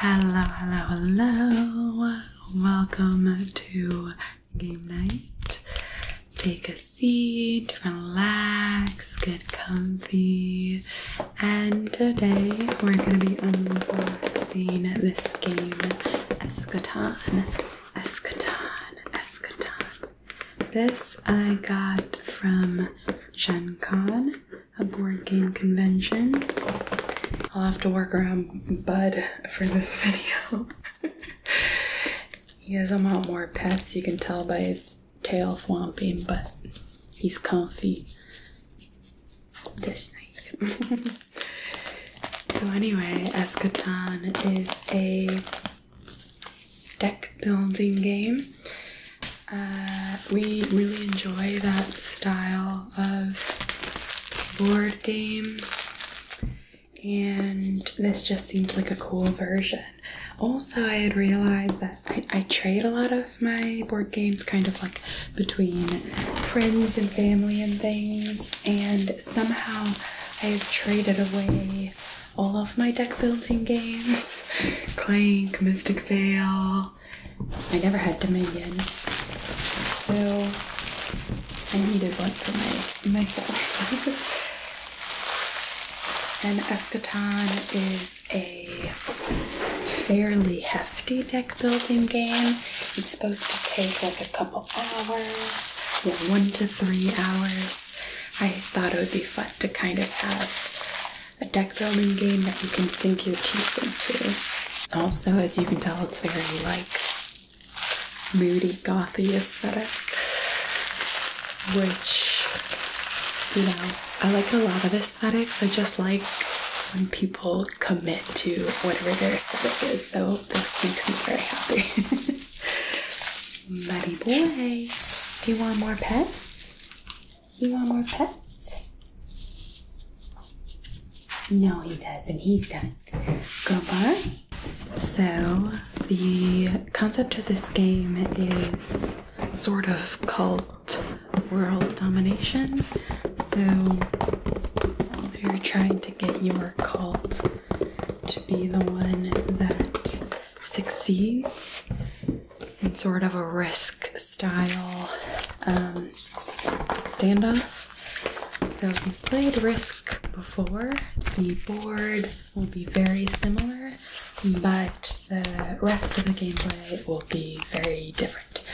Hello, hello, hello. Welcome to game night. Take a seat, relax, get comfy. And today we're going to be unboxing this game, Eschaton. Eschaton, Eschaton. This I got from Gen Con a board game convention. I'll have to work around Bud for this video. he has a lot more pets, you can tell by his tail swamping, but he's comfy. This nice. so anyway, Eschaton is a deck building game. Uh, we really enjoy that style of board game, and this just seemed like a cool version. Also, I had realized that I, trade a lot of my board games kind of like between friends and family and things, and somehow I have traded away all of my deck building games Clank, Mystic Veil, I never had Dominion, so I needed one for my myself. and Eschaton is a fairly hefty deck building game. It's supposed to take like a couple hours, one to three hours. I thought it would be fun to kind of have a deck building game that you can sink your teeth into. Also, as you can tell, it's very like moody gothy aesthetic, which you know I like a lot of aesthetics. I just like when people commit to whatever their aesthetic is. So this makes me very happy. Buddy boy, do you want more pets? You want more pets? No, he doesn't. He's done. Go bar. So, the concept of this game is sort of cult world domination. So, you're trying to get your cult to be the one that succeeds in sort of a risk style um, standoff. So if you've played Risk before, the board will be very similar, but the rest of the gameplay will be very different.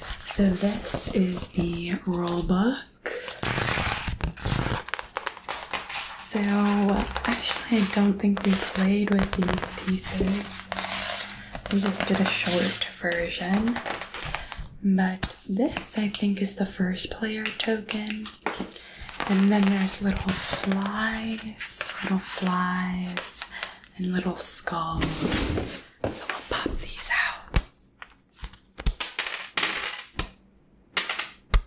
So this is the rule book. So, actually, I don't think we played with these pieces. We just did a short version. But this, I think, is the first player token. And then there's little flies, little flies, and little skulls. So we'll pop these out.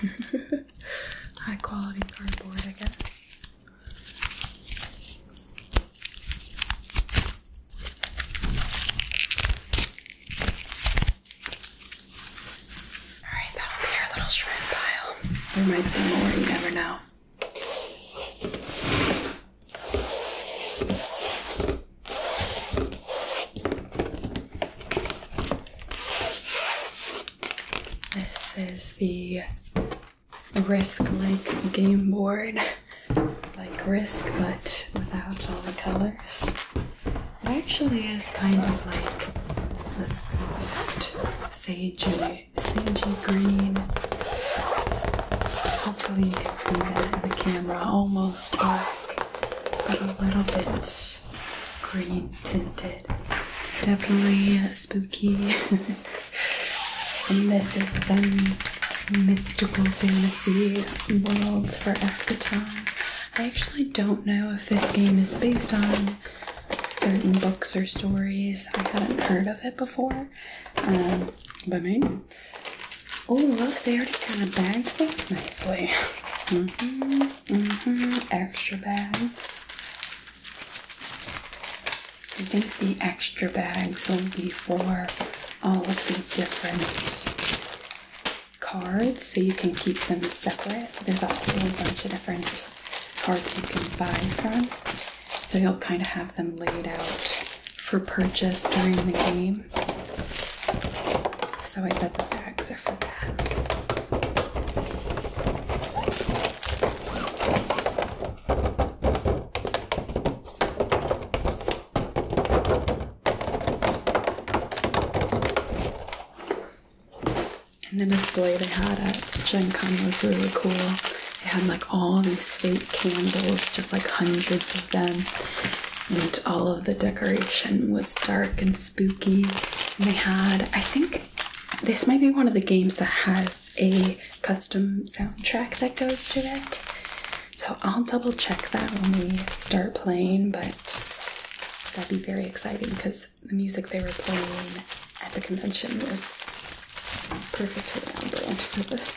High quality cardboard, I guess. Alright, that'll be our little shrimp pile. There might be more, you never know. This is the Risk like game board, like Risk, but without all the colors. It actually is kind of like a soft sagey, sagey green. Hopefully, you can see that in the camera. Almost dark, but a little bit green tinted. Definitely uh, spooky. and this is some mystical fantasy worlds for eschaton. I actually don't know if this game is based on certain books or stories. I hadn't heard of it before. Um, but maybe. Oh, look, they already kind of bagged things nicely. Mm-hmm. Extra bags. I think the extra bags will be for all of the different cards, so you can keep them separate. There's a whole bunch of different cards you can buy from, so you'll kind of have them laid out for purchase during the game so I bet the bags are for that. And the display they had at Gen Con was really cool. They had like all these fake candles, just like hundreds of them and all of the decoration was dark and spooky. they had, I think, this might be one of the games that has a custom soundtrack that goes to it. So I'll double check that when we start playing, but that'd be very exciting because the music they were playing at the convention was perfectly on brand for this.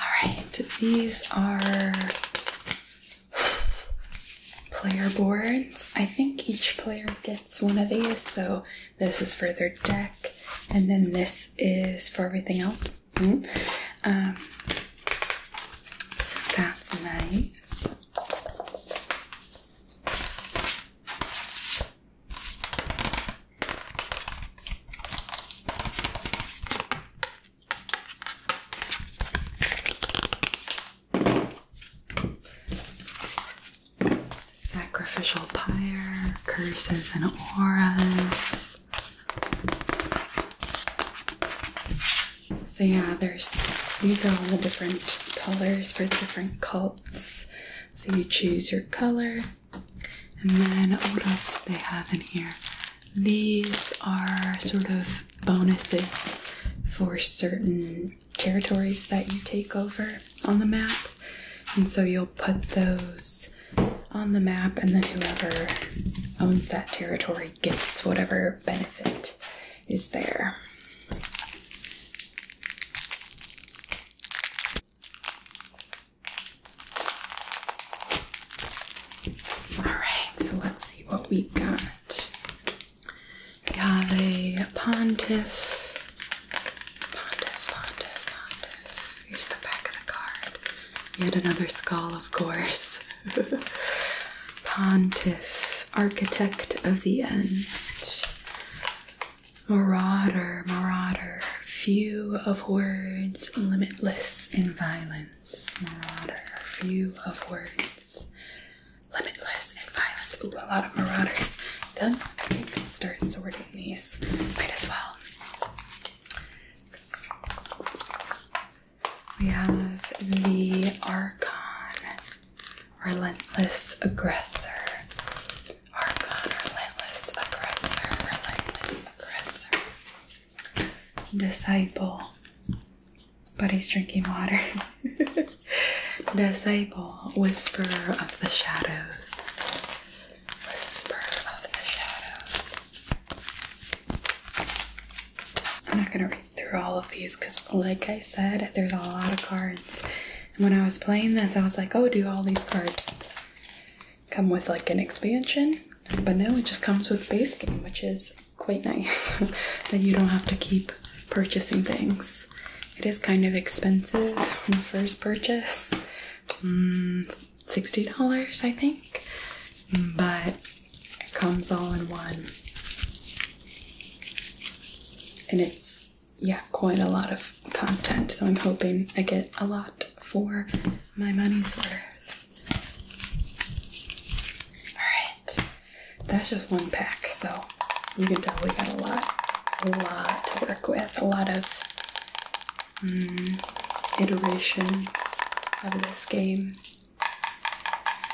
Alright, these are player boards. I think each player gets one of these, so this is for their deck, and then this is for everything else. Mm-hmm. Um, so that's nice. Sacrificial pyre, curses and auras. So yeah, there's these are all the different colors for the different cults. So you choose your color. And then what else do they have in here? These are sort of bonuses for certain territories that you take over on the map. And so you'll put those on the map, and then whoever owns that territory gets whatever benefit is there. Alright, so let's see what we got. Got a pontiff. Pontiff, pontiff, pontiff. Here's the back of the card. Yet another skull, of course. pontiff, architect of the end. Marauder, marauder, few of words, limitless in violence. Marauder, few of words, limitless in violence. Ooh, a lot of marauders. Then i can start sorting these. Might as well. We have the Archon, Relentless Aggressor. Archon, Relentless Aggressor, Relentless Aggressor. Disciple. But he's drinking water. Disciple, Whisper of the Shadows. Whisper of the Shadows. I'm not going to read through all of these because, like I said, there's a lot of cards when I was playing this, I was like, oh, do all these cards come with like an expansion? But no, it just comes with base game, which is quite nice that you don't have to keep purchasing things. It is kind of expensive on the first purchase. Hmm, $60, I think. But it comes all in one. And it's yeah, quite a lot of content, so I'm hoping I get a lot for my money's worth. Alright, that's just one pack, so you can tell we got a lot, a lot to work with, a lot of mm, iterations of this game.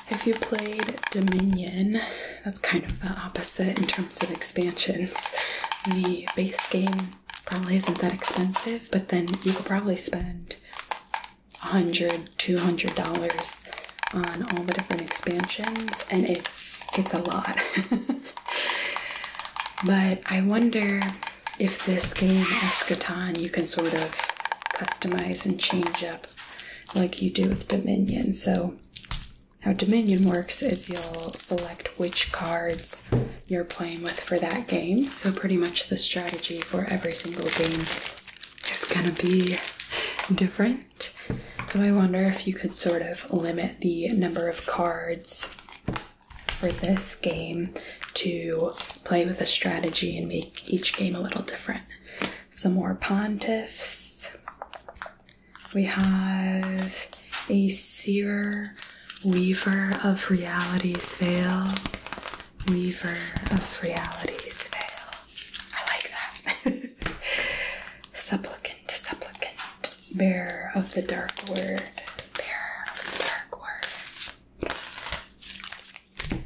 Have you played Dominion, that's kind of the opposite in terms of expansions. The base game probably isn't that expensive, but then you could probably spend a hundred, two hundred dollars on all the different expansions, and it's it's a lot. but I wonder if this game Eschaton you can sort of customize and change up like you do with Dominion. So how Dominion works is you'll select which cards you're playing with for that game. So, pretty much the strategy for every single game is gonna be different. So, I wonder if you could sort of limit the number of cards for this game to play with a strategy and make each game a little different. Some more pontiffs. We have a seer, weaver of reality's veil, weaver of reality's veil. I like that. supplicant, supplicant, bearer of the dark word, bearer of the dark word.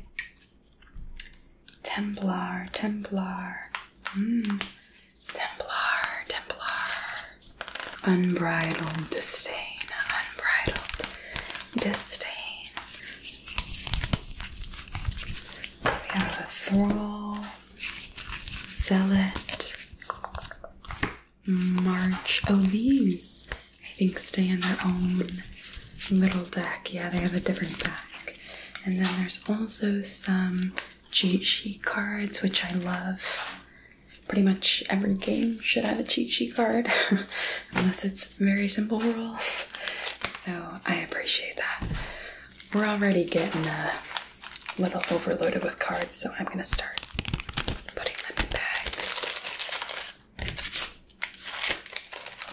Templar, Templar, mm. Templar, Templar. Unbridled disdain, unbridled disdain. We have a thrall, zealot, march. Oh, these I think stay in their own little deck. Yeah, they have a different deck. And then there's also some cheat sheet cards, which I love. Pretty much every game should have a cheat sheet card, unless it's very simple rules. So I appreciate that. We're already getting a little overloaded with cards, so I'm gonna start putting them in bags.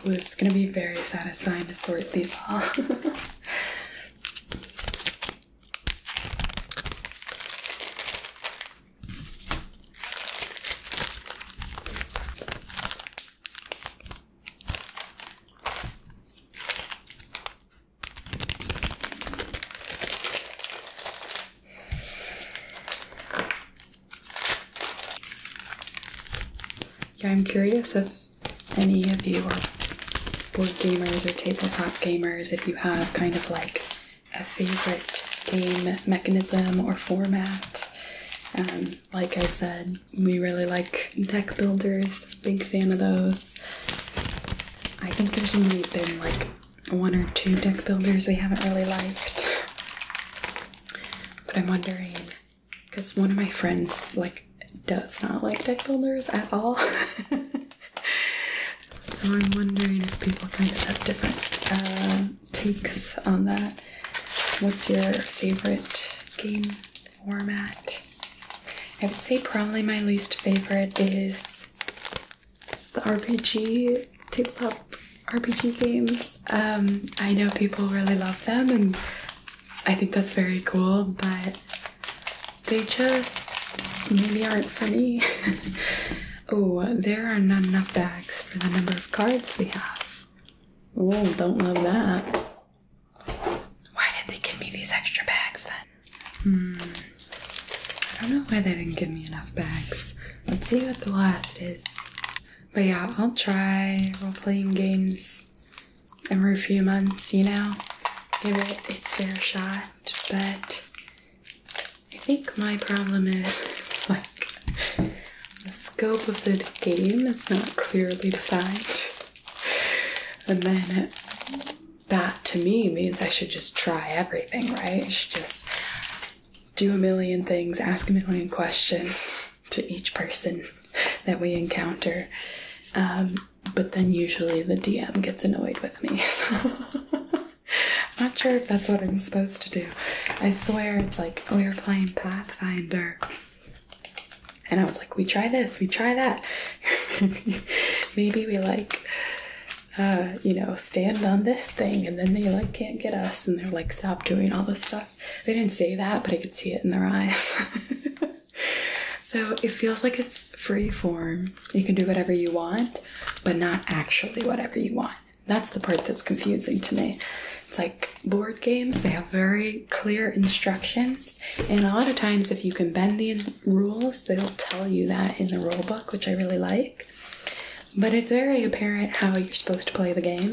Ooh, it's gonna be very satisfying to sort these all. Yeah, I'm curious if any of you are board gamers or tabletop gamers, if you have kind of like a favorite game mechanism or format. Um, like I said, we really like deck builders, big fan of those. I think there's only been like one or two deck builders we haven't really liked. But I'm wondering because one of my friends like does not like deck builders at all. so I'm wondering if people kind of have different um, takes on that. What's your favorite game format? I would say probably my least favorite is the RPG tabletop RPG games. Um, I know people really love them and I think that's very cool, but they just maybe aren't for me. oh, there are not enough bags for the number of cards we have. Oh, don't love that. Why did they give me these extra bags then? Hmm. I don't know why they didn't give me enough bags. Let's see what the last is. But yeah, I'll try role playing games every few months, you know, give it its fair shot. But I think my problem is like the scope of the game is not clearly defined. And then that to me means I should just try everything, right? should just do a million things, ask a million questions to each person that we encounter. Um, but then usually the DM gets annoyed with me. So not sure if that's what I'm supposed to do. I swear it's like we oh, were playing Pathfinder. And I was like, we try this, we try that. Maybe we like uh, you know, stand on this thing and then they like can't get us and they're like stop doing all this stuff. They didn't say that, but I could see it in their eyes. so it feels like it's free form. You can do whatever you want, but not actually whatever you want. That's the part that's confusing to me. It's like board games, they have very clear instructions, and a lot of times, if you can bend the rules, they'll tell you that in the rule book, which I really like but it's very apparent how you're supposed to play the game.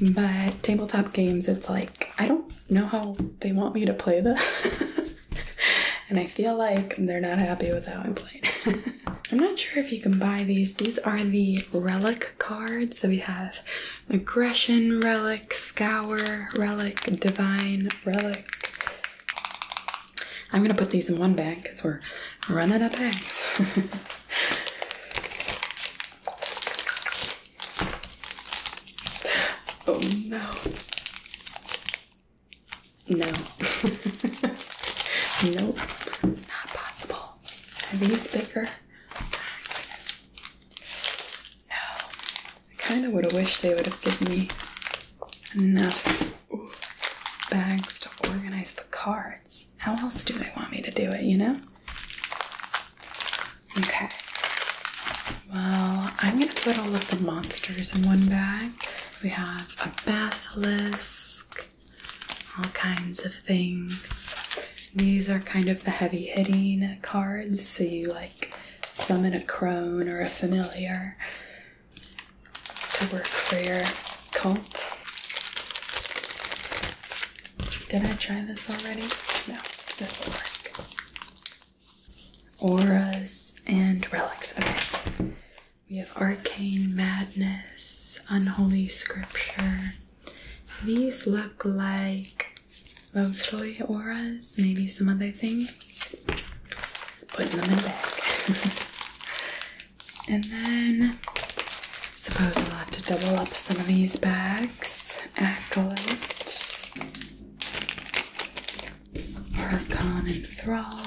But tabletop games, it's like, I don't know how they want me to play this. and I feel like they're not happy with how I'm playing. I'm not sure if you can buy these. These are the relic cards. So we have aggression relic, scour relic, divine relic. I'm gonna put these in one bag because we're running out of bags. Oh no. No. nope. Not possible. these bigger? Facts. No. I kinda would have wished they would have given me enough bags to organize the cards. How else do they want me to do it, you know? Okay. Well, I'm gonna put all of the monsters in one bag. We have a basilisk, all kinds of things. These are kind of the heavy hitting cards, so you like summon a crone or a familiar to work for your cult. Did I try this already? No, this will work. Auras and relics. Okay. We have arcane madness, unholy scripture. These look like mostly auras, maybe some other things. Putting them in bag. And then suppose I'll have to double up some of these bags. Acolyte, Hercon and Thrall.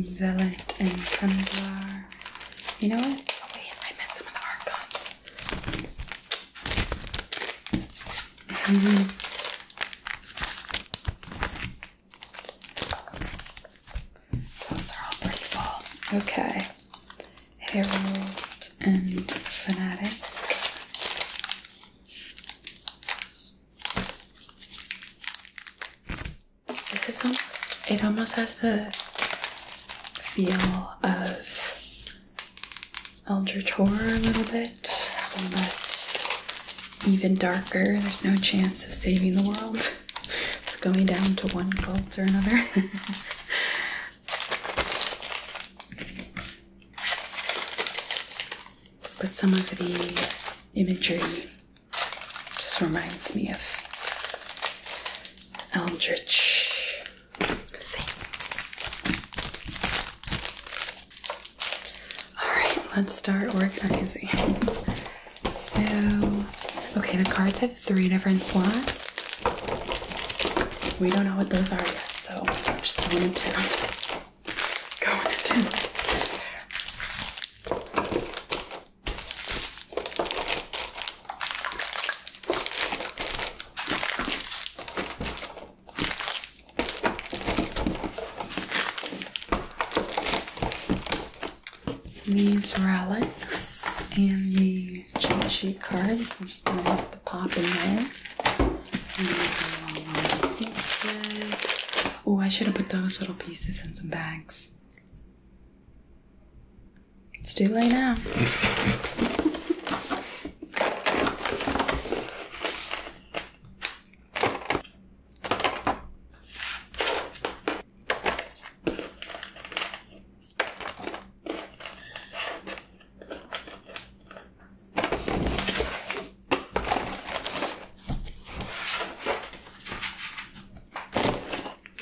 Zealot and Tundlar. You know what? Oh, wait, I missed some of the Archons. Those are all pretty full. Okay. Herald and Fanatic. This is almost, it almost has the feel of Eldritch Horror a little bit, but even darker. There's no chance of saving the world. it's going down to one cult or another. but some of the imagery just reminds me of eldritch things. Alright, let's start organizing. So, okay, the cards have three different slots. We don't know what those are yet, so I'm just going to go into these relics and the cheat sheet cards. I'm just gonna have to pop in there. Oh, I should have put those little pieces in some bags. It's too late now.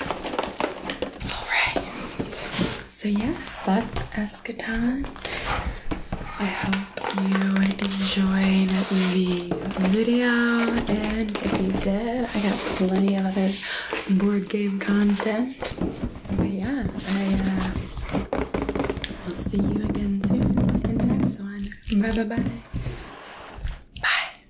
All right. So yes, that's Eschaton. I hope you enjoyed the video, and if you did, I got plenty of other board game content. But yeah, I will uh, see you again soon in the next one. Bye bye bye. Bye.